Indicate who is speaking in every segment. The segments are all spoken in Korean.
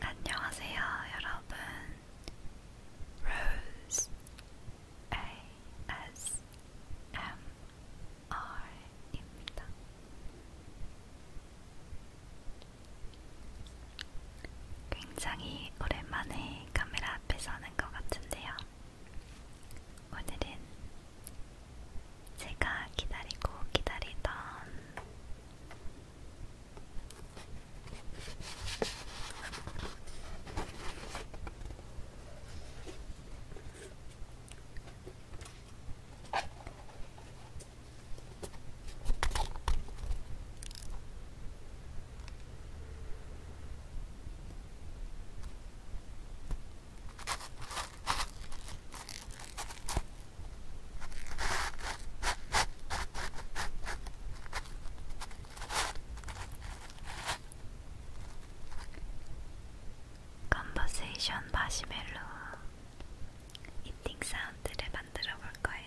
Speaker 1: 안녕하세요, 여러분. Rose ASMR입니다. 굉장히 오랜만에 카메라 앞에 서는 것 같은데요. 오늘은 제가 기다리고 기다리던 컨버세이션 마시멜로 이팅 사운드를 만들어 볼 거예요.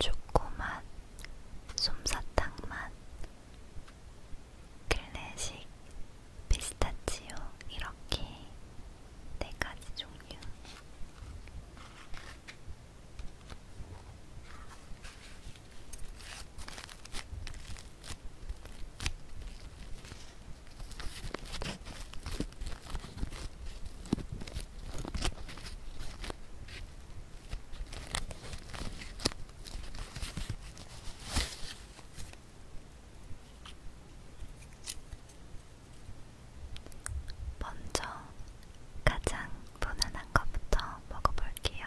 Speaker 1: 초코맛, 솜사탕맛, 클래식, 피스타치오 이렇게 네 가지 종류. 먼저 가장 무난한 것부터 먹어볼게요.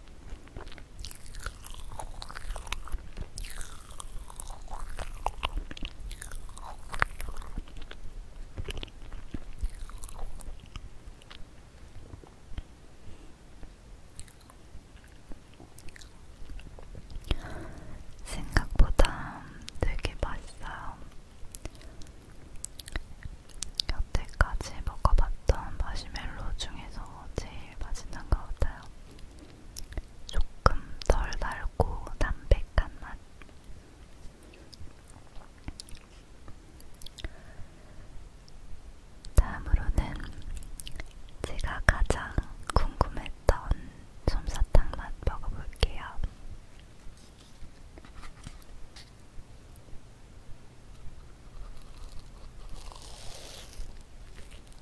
Speaker 1: 생각보다 되게 맛있어요. 여태까지 먹어봤던 마시멜로 중에서 제일 맛있는 것 같아요. 조금 덜 달고 담백한 맛. 다음으로는 제가 가장 궁금했던 솜사탕 맛 먹어볼게요.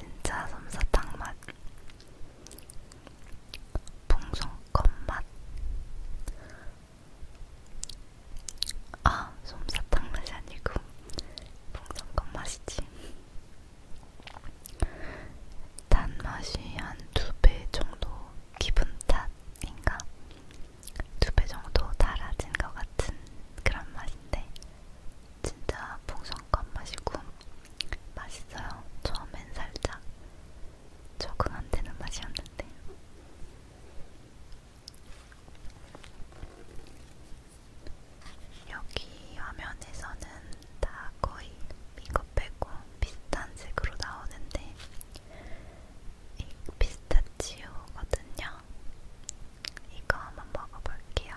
Speaker 1: 진짜 솜사탕 맛, 풍선껌 맛. 아, 솜사탕 맛이 아니고 풍선껌 맛이지. 단맛이 한 두 배 정도 기분 탓인가? 두 배 정도 달아진 것 같은 그런 맛인데 진짜 풍성한 맛이고 맛있어요. 처음엔 살짝 적응 안 되는 맛이었는데 여기 화면에서는 다 거의 이거 빼고 비슷한 색으로 나오는데 이 피스타치오거든요. 이거 한번 먹어볼게요.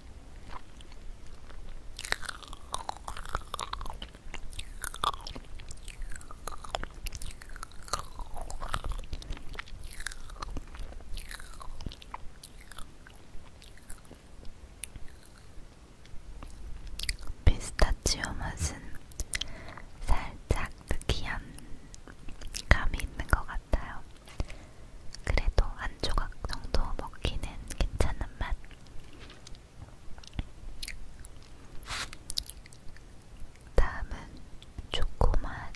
Speaker 1: 피스타치오 맛은 살짝 느끼한 감이 있는 것 같아요. 같아요. 그래도 한 조각 정도 먹기는 괜찮은 맛. 다음은 초코맛.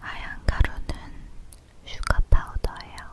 Speaker 1: 하얀 가루는 슈가 파우더예요.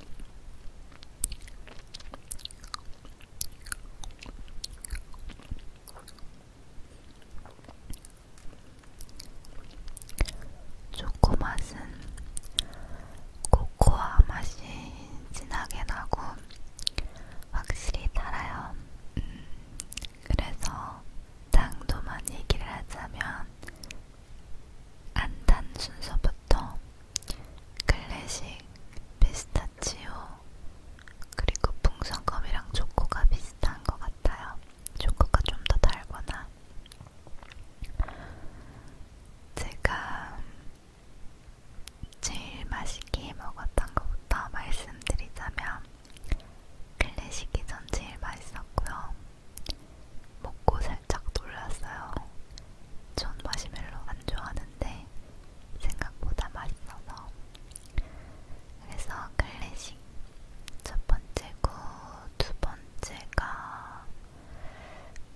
Speaker 1: 초코 맛은 코코아 맛이 진하게 나고 확실히 달아요. 음, 그래서 당도만 얘기를 하자면 안단 순서부터 클래식, 피스타치오, 그리고 풍선껌이랑 초코가 비슷한 것 같아요. 초코가 좀 더 달거나. 제가 제일 맛있게 먹었던 것부터 말씀드리자면 클래식이 전 제일 맛있었고요. 먹고 살짝 놀랐어요. 전 마시멜로 안 좋아하는데 생각보다 맛있어서. 그래서 클래식 첫 번째고 두 번째가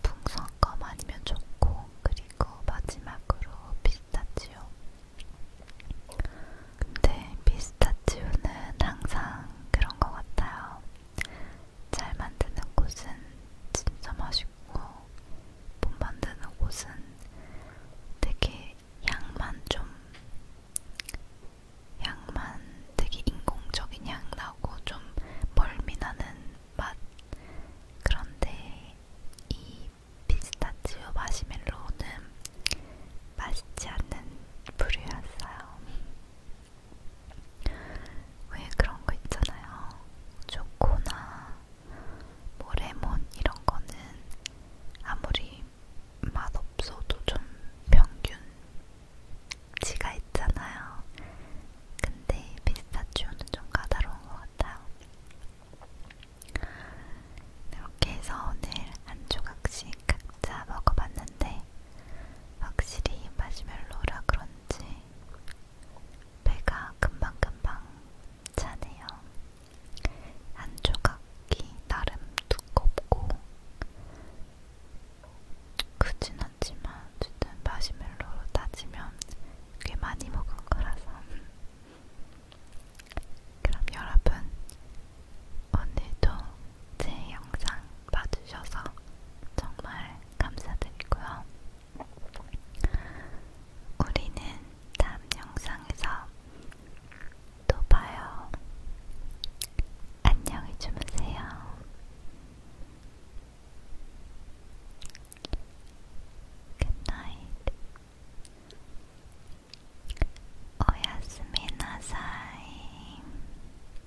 Speaker 1: 풍선껌 아니면 좋고 그리고 마지막으로 피스타치오. 근데 피스타치오는 항상 그런 것 같아요. 잘 만드는 곳은 진짜 맛있고 못 만드는 곳은 되게 향만 좀 향만 되게 인공적인 향 나고 좀 멀미나는 맛 그런데 이 피스타치오 마시멜로우는 맛있지 않은 부류였어요. 왜 그런 거 있잖아요. 초코나 뭐 레몬 이런 거는 아무리 맛 없어도 좀 평균치가 있잖아요. 근데 피스타치오는 좀 까다로운 것 같아요. 이렇게 해서 오늘 한 조각씩 각자 먹어봤는데 근데 확실히 마시멜로라 그런지 배가 금방금방 차네요. 한 조각이 나름 두껍고 크진 않지만 어쨌든 마시멜로로 따지면 꽤 많이 먹은 거라서 그럼 여러분 오늘도 제 영상 봐주셔서 정말 감사드리고요. 우리는 다음 영상에서 또 봐요. 안녕히 주무세요. Good night. 오야스미 나사이.